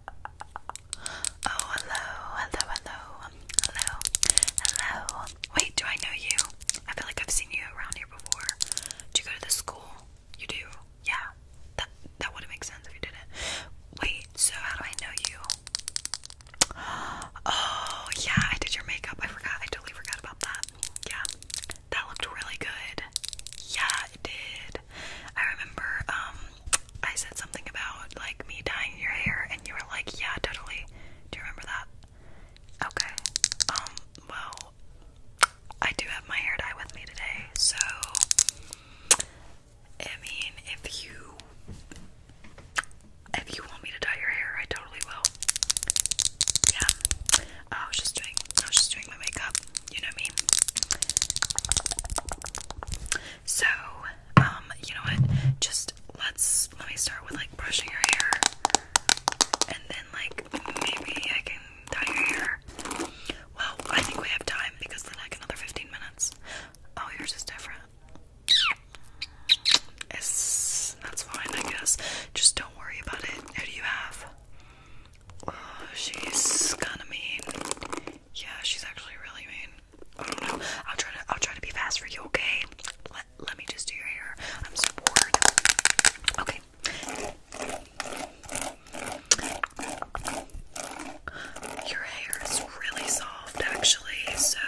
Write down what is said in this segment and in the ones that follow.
Oh, hello, hello, hello, hello, hello. Wait, do I know you? I feel like I've seen you around here before. Do you go to this school? You do? Yeah. That that would make sense if you didn't. Wait, so how do I know you? Oh, yeah, I did your makeup. I forgot. I totally forgot about that. Yeah. That looked really good. Yeah, it did. I remember um, I said something about like me dyeing your hair and you were like, "Yeah, totally." Do you remember that? Okay. Um, well, I do have my hair dye with me today, so I mean, if you if you want me to dye your hair, I totally will. Yeah. I was just doing I was just doing my makeup. You know me. So, um, you know what? Just let's let me start with like brushing your hair, and then like maybe I can dye your hair. Well, I think we have time because then like another 15 minutes. Oh, yours is different. It's that's fine, I guess. Just don't worry about it. Who do you have? Oh, she's kind of mean. Yeah, she's actually really mean. I don't know. I'll try to I'll try to be fast for you, okay? Let let me just do your hair. I'm so bored. Okay. Your hair is really soft actually, so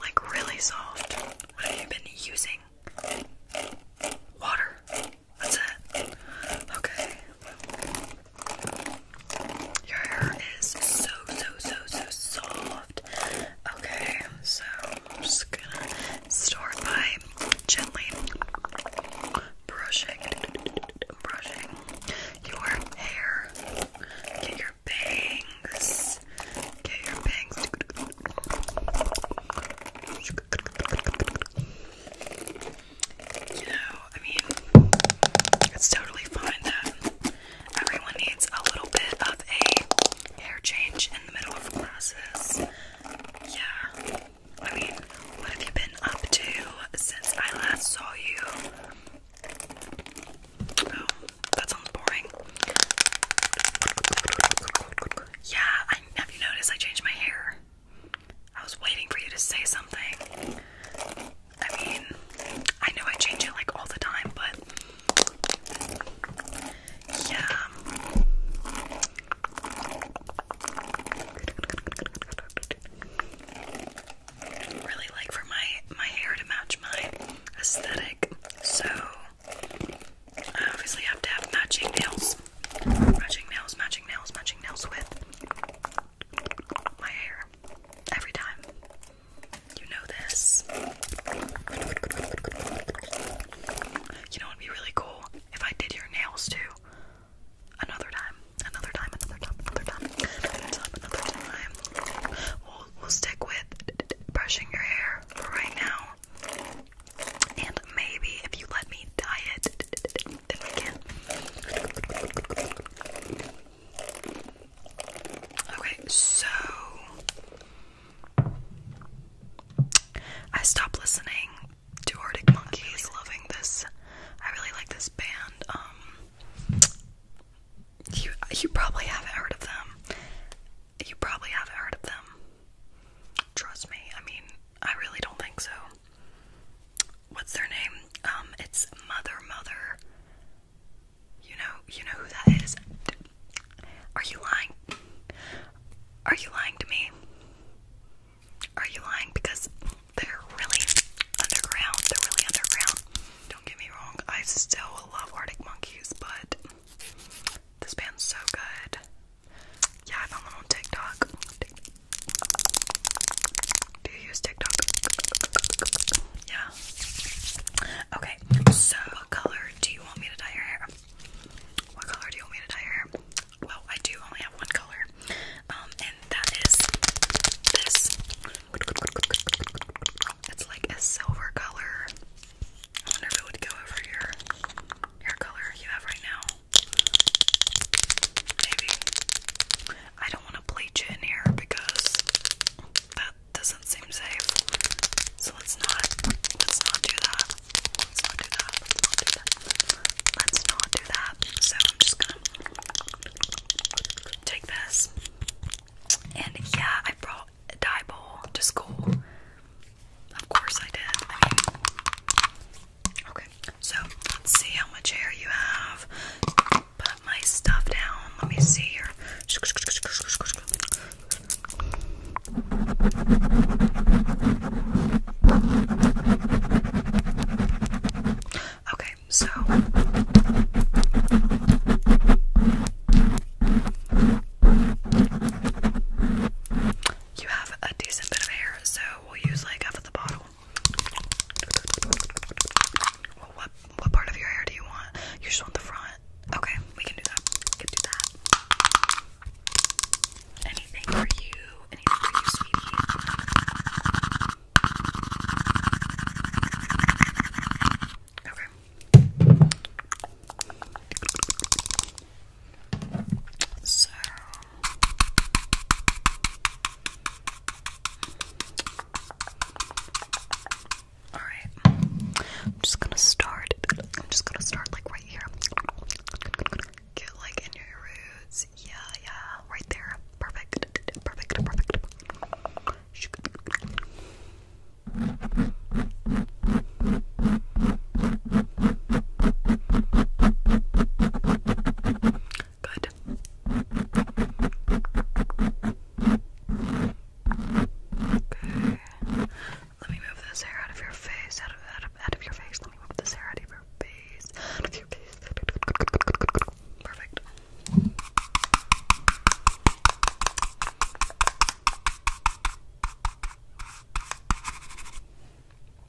like really soft. What have you been using? Water. That's it. Okay. Your hair is so, so, so, so soft. Okay, so I'm just gonna start by gently brushing, brushing your hair. Get your bangs. Get your bangs you know, I mean, it's totally fine that everyone needs a little bit of a hair change in the middle of classes. Yeah. I mean, what have you been up to since I last saw you? Oh, that sounds boring. Yeah, have you noticed I changed my hair? I was waiting for you to say something. I mean, I know I change it like all the time, but yeah. Really like for my my hair to match my aesthetic, so I obviously have to have matching nails. Matching nails, matching nails, matching nails with my hair. Every time. You know this. You know what would be really cool? If I did your nails too. Another time. Another time, another time, another time. Another time, another time. We'll, we'll stick with brushing your hair for right now. And maybe if you let me dye it Okay, so I stopped listening to Arctic Monkeys. Loving this. I really like this band. Um, you you probably haven't heard of them. You probably haven't heard of them. Trust me. I mean, I really don't think so. What's their name? Um, it's Mother Mother. You know, you know who that is. Are you lying? Are you lying to me? Are you lying? Because they're really underground. They're really underground. Don't get me wrong. I still love Arctic Monkeys, but this band's so good. Yeah, I found them on TikTok. Do you use TikTok? Yeah. Okay, so what color do you want me to dye your hair? What color do you want me to dye your hair? Well, I do only have one color, um, and that is this. It's like a silver color. I wonder if it would go over your hair color you have right now. Maybe. I don't want to bleach it in here because that doesn't seem safe. So let's not let's not do that. Let's not do that. Let's not do that. So I'm just gonna take this. And yeah, I brought a dye bowl to school. Of course I did. Okay, so let's see how much hair you have. Put my stuff down. Let me see here. Okay, so you have a decent bit of hair, so we'll use like half of the bottle. Well, what what part of your hair do you want? You just want the front. Okay, we can do that. We can do that. Anything for you? Anything for you, sweetie? Okay. So all right, I'm just gonna start. I'm just gonna start like right here. Get like in your roots. Yeah, yeah, right there. Perfect, perfect, perfect. Good. Okay. Let me move this hair out of your face. Out of out of out of your face. Let me move this hair out of your face. Out of your face. Perfect.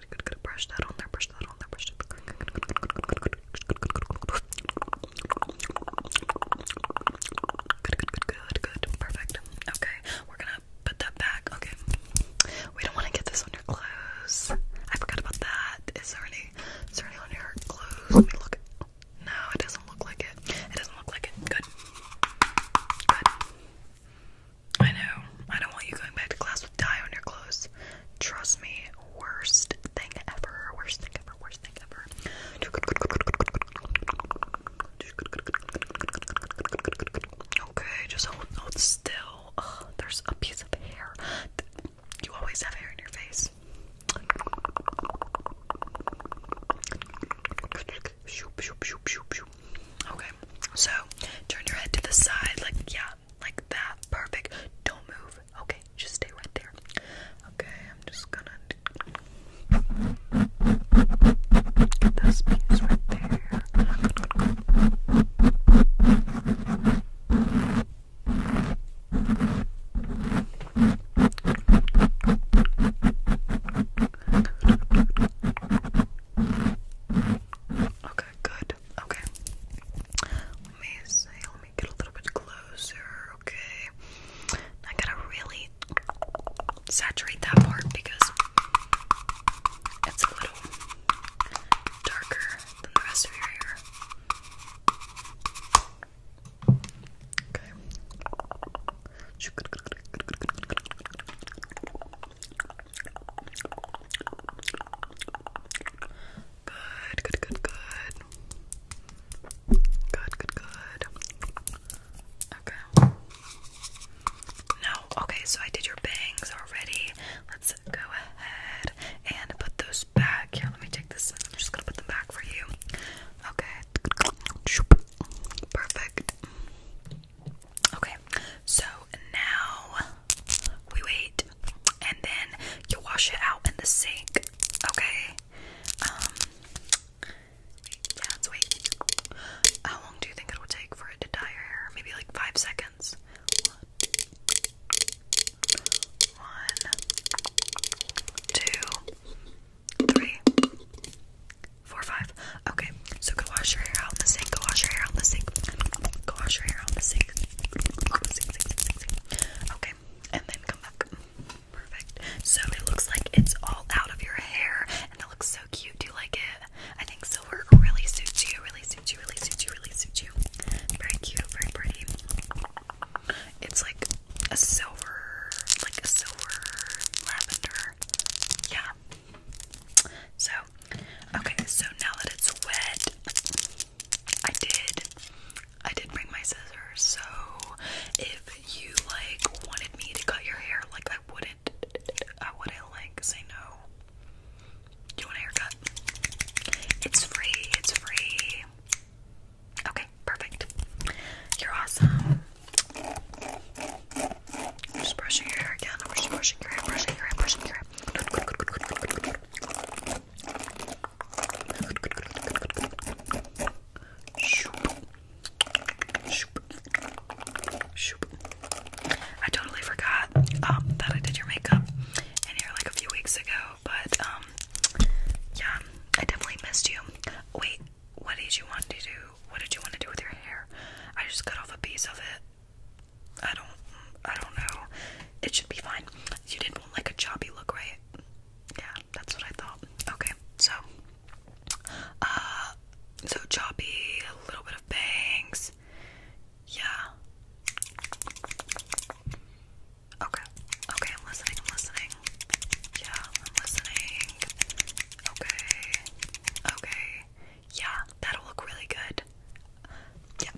good, good, good. Brush that on there, brush that on there, brush that. Good, good, good, good, good, good, good. Good, good, good, good, good. Perfect. Okay, we're gonna put that back. Okay, we don't want to get this on your clothes. I forgot about that. Is there any, is there any on your clothes? Let me look. No, it doesn't look like it. It doesn't look like it. Good. Good. I know. I don't want you going back to class with dye on your clothes. Trust me, worst thing ever. Worst thing ever. Worst thing ever. Okay, just hold, hold still. Ugh, there's a piece of hair. You always have hair in your face. Shoop, shoop, shoop, shoop, shoop. Okay, so turn your head to the side, like, yeah, like that. Perfect. Don't move. Okay, just stay right there. Okay, I'm just gonna get those piece right there. Okay, good. Okay. Let me see. Let me get a little bit closer. Okay. I gotta really saturate that part because it's a little darker than the rest of your hair. Okay. Good, good, good, good. Good, good, good. Okay. No, okay, so I did your bangs already. Let's go ahead and put those back. Here, let me take this. I'm just gonna put them back for you. Okay. Perfect. Okay, so now we wait and then you wash it out in the sink. Okay, um, yeah, let wait. How long do you think it will take for it to dye your hair? Maybe like five seconds. One, one two, three, four, five. Okay, so go wash your hair out in the sink. Go wash your hair out in the sink. Go wash your hair out in the sink. Okay, and then come back. Perfect. So it looks like it's all out of your hair, and it looks so cute. Do you like it? I think silver really suits you. Really suits you. Really suits you. Really suits you. Very cute. Very pretty. It's like a silver, like a silver lavender. Yeah. So, okay, so now that it's wet, I did I did bring my scissors, so if you like wanted me to cut your hair, like I wouldn't I wouldn't like say no. Do you want a haircut? It's free, it's free. Okay, perfect. You're awesome. I'm just brushing your hair again. I'm just brushing your hair, brushing your hair, brushing your hair. I totally forgot um, that I did your makeup in here like a few weeks ago, but um, yeah, I definitely missed you. Wait, what did you want to do? What did you want to do with your hair? I just cut off a piece of it. I don't, I don't know. It should be fine. You didn't want like a choppy look, right? Yeah, that's what I thought. Okay, so, uh, so choppy, a little bit of bangs. Yeah. Okay, okay, I'm listening, I'm listening. Yeah, I'm listening. Okay, okay. Yeah, that'll look really good. Yeah,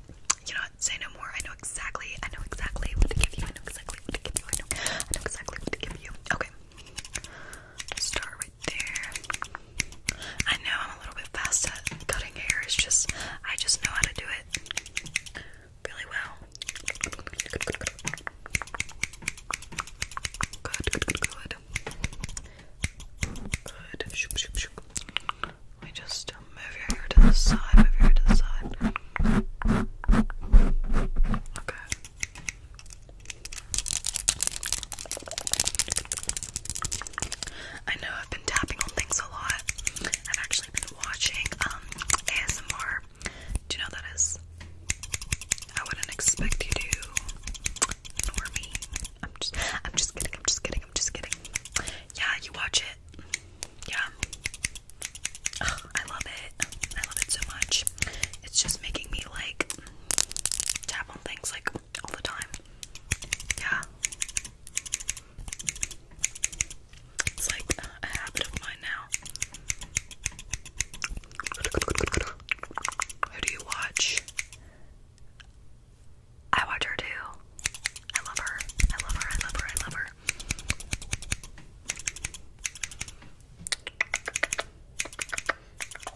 you know Say no more. I know exactly. I know exactly what to give you. I know exactly what to give you. I know. exactly what to give you. Okay. start right there. I know I'm a little bit fast at cutting hair. It's just I just know how to do it really well. Good, good, good, good. Good. Good. just um, move your hair to the side. Move your hair to the side. Okay. I know I've been tapping on things a lot. I've actually been watching um ASMR. Do you know that is? I wouldn't expect you to ignore me. I'm just I'm just kidding, I'm just kidding, I'm just kidding. Yeah, you watch it. Yeah. I love it. I love it so much. It's just making me like tap on things like all the time. Yeah. It's like a habit of mine now. Who do you watch? I watch her too. I love her. I love her. I love her. I love her.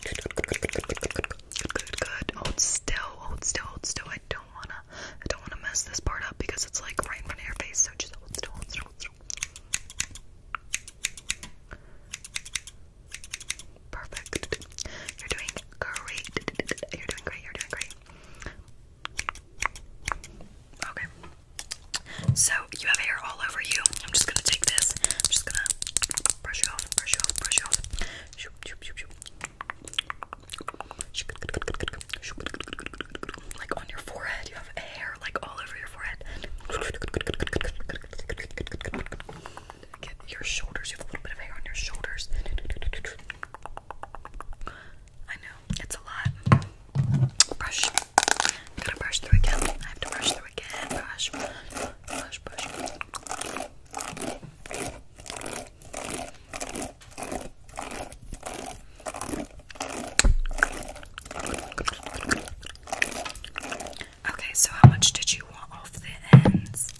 Good, good, good, good, good, good, good, good, good. Hold still, hold still, hold still. I don't wanna, I don't wanna mess this part up because it's like right in front of your face. So just hold still, hold still, hold still. Perfect. You're doing great. You're doing great. You're doing great. Okay. So you have hair all over you. I'm just gonna take this. I'm just gonna brush you off, brush you off, brush you off. Like on your forehead, you have hair like all over your forehead your shoulders. You have a little bit of hair on your shoulders. I know, it's a lot. Brush. i to brush through again. I have to brush through again. Brush, brush, brush. Okay, so how much did you want off the ends?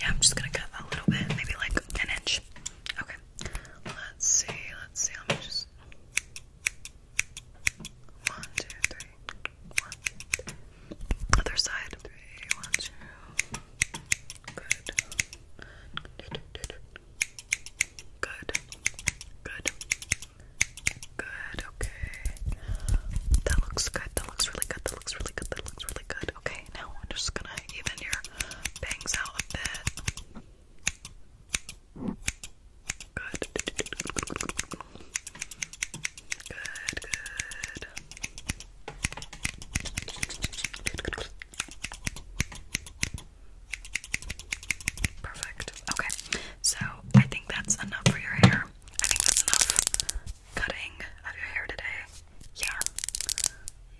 Yeah, I'm just gonna cut a little bit, maybe like an inch. Okay. Let's see, let's see, let me just one, two, three, one, two, three. Other side. Three, one, two. Good. Good. Good. Good. Good. Okay. That looks good. That looks really good. That looks really good. That looks really good. Okay, now I'm just gonna even your bangs out a bit. Good, good. Good, good, good. Perfect. Okay. So I think that's enough for your hair. I think that's enough cutting of your hair today. Yeah.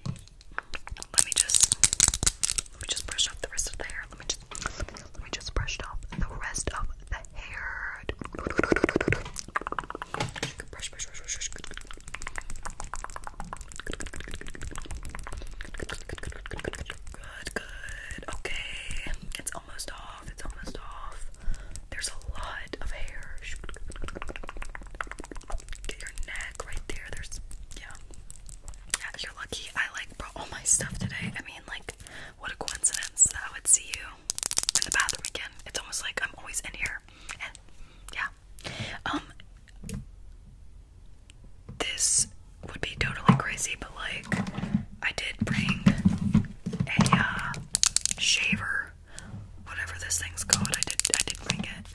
Let me just let me just brush off the rest of the hair. Let me just let me, just brush off the rest of the hair. good, good. Okay, it's almost off. It's almost off. There's a lot of hair. Get your neck right there. There's yeah. Yeah, you're lucky. I like brought all my stuff today. I mean, like, what a coincidence that I would see you in the bathroom again. It's almost like I'm always in here. And yeah. Um this would be totally crazy, but like I did bring a uh, shaver whatever this thing's called. I did I did bring it.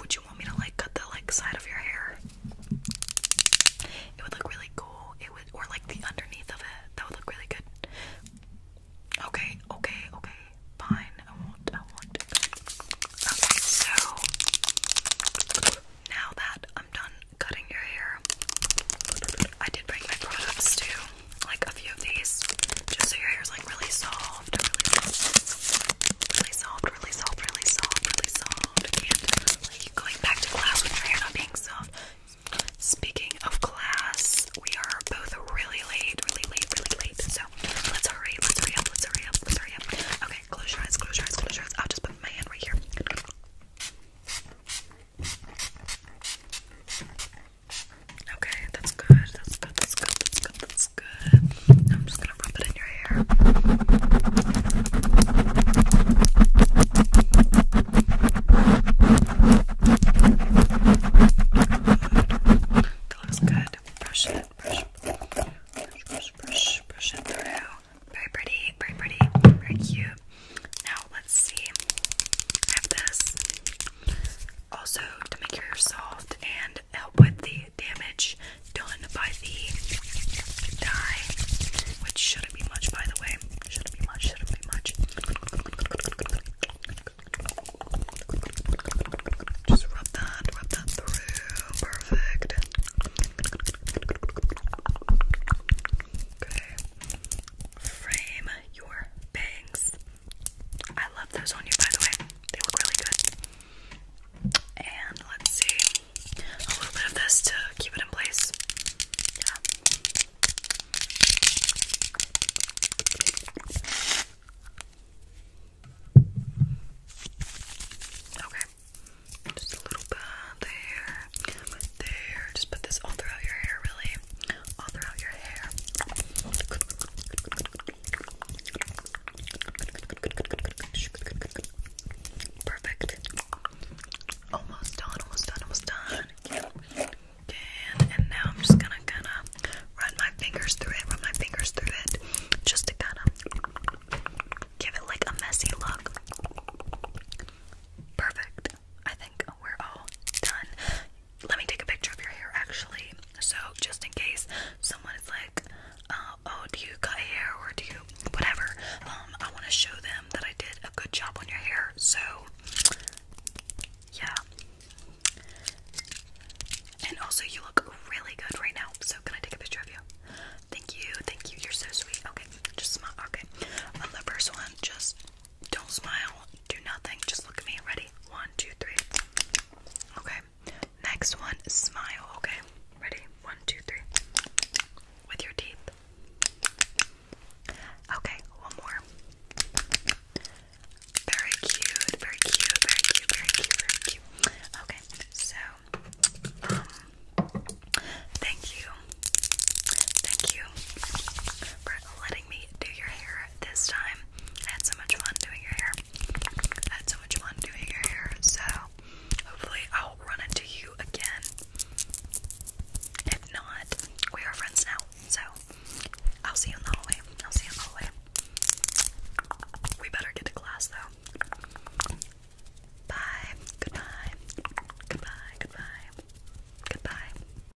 Would you want me to like cut the like side of your hair? It would look really cool. It would or like the underneath of it. That would look really good. Okay, okay, okay. Fine. I won't I won't. Okay, so now that I'm done cutting your hair, I did bring my products too like a few of these just so your hair's like really soft, really soft, really soft, really soft, really soft, going back to class with your hair not being soft. Speaking of class, we are both really late, really late, really late. So let's hurry, let's hurry up, let's hurry up, let's hurry up. Okay, close your eyes, close your eyes, close your eyes. I'll just put my hand right here. Okay, that's good. That's good. That's good. That's good. That's good. I'm just gonna rub it in your hair. Good. That looks good. Brush it. Brush. Brush. Brush. Brush. Brush it through. Very pretty. Very pretty. Very cute. Now let's see. this also to make your hair soft and help with the damage done by the dye, which shouldn't be much, by the way. Shouldn't be much. Shouldn't be much. Just rub that, rub that through. Perfect. Okay. Frame your bangs. I love those on you, by the way. They look really good. And let's see, a little bit of this to keep it in place. Okay. Just a little bit there, there. Just put this all throughout your hair, really all throughout your hair. Perfect. Almost done, almost done, almost done. And, now I'm just gonna kind of run my fingers through it, run my fingers through it, just to kind of give it like a messy look. Perfect. I think we're all done let me take a picture of your hair actually. So just in case someone is like, uh, oh, do you cut hair or do you whatever? Um, I want to show them that I did a good job on your hair. So yeah. And also, you look really good right now. So can I take a picture of you? Thank you, thank you. You're so sweet. Okay, just smile. Okay, on the first one, just don't smile. Do nothing. Just look at me. Ready? One, two, three. Okay. Next one, smile. Okay. Ready? One, two, three. With your teeth. Okay. One more. Very cute. Very cute. Very cute. Very cute. Very cute. Okay. So, um, thank you. Thank you for letting me do your hair this time. I had so much fun doing your hair. I had so much fun doing your hair. So hopefully I'll run into you again. If not, we are friends now. So I'll see you in the hallway. I'll see you in the hallway. We better get to class though. Bye. Goodbye. Goodbye. Goodbye. Goodbye.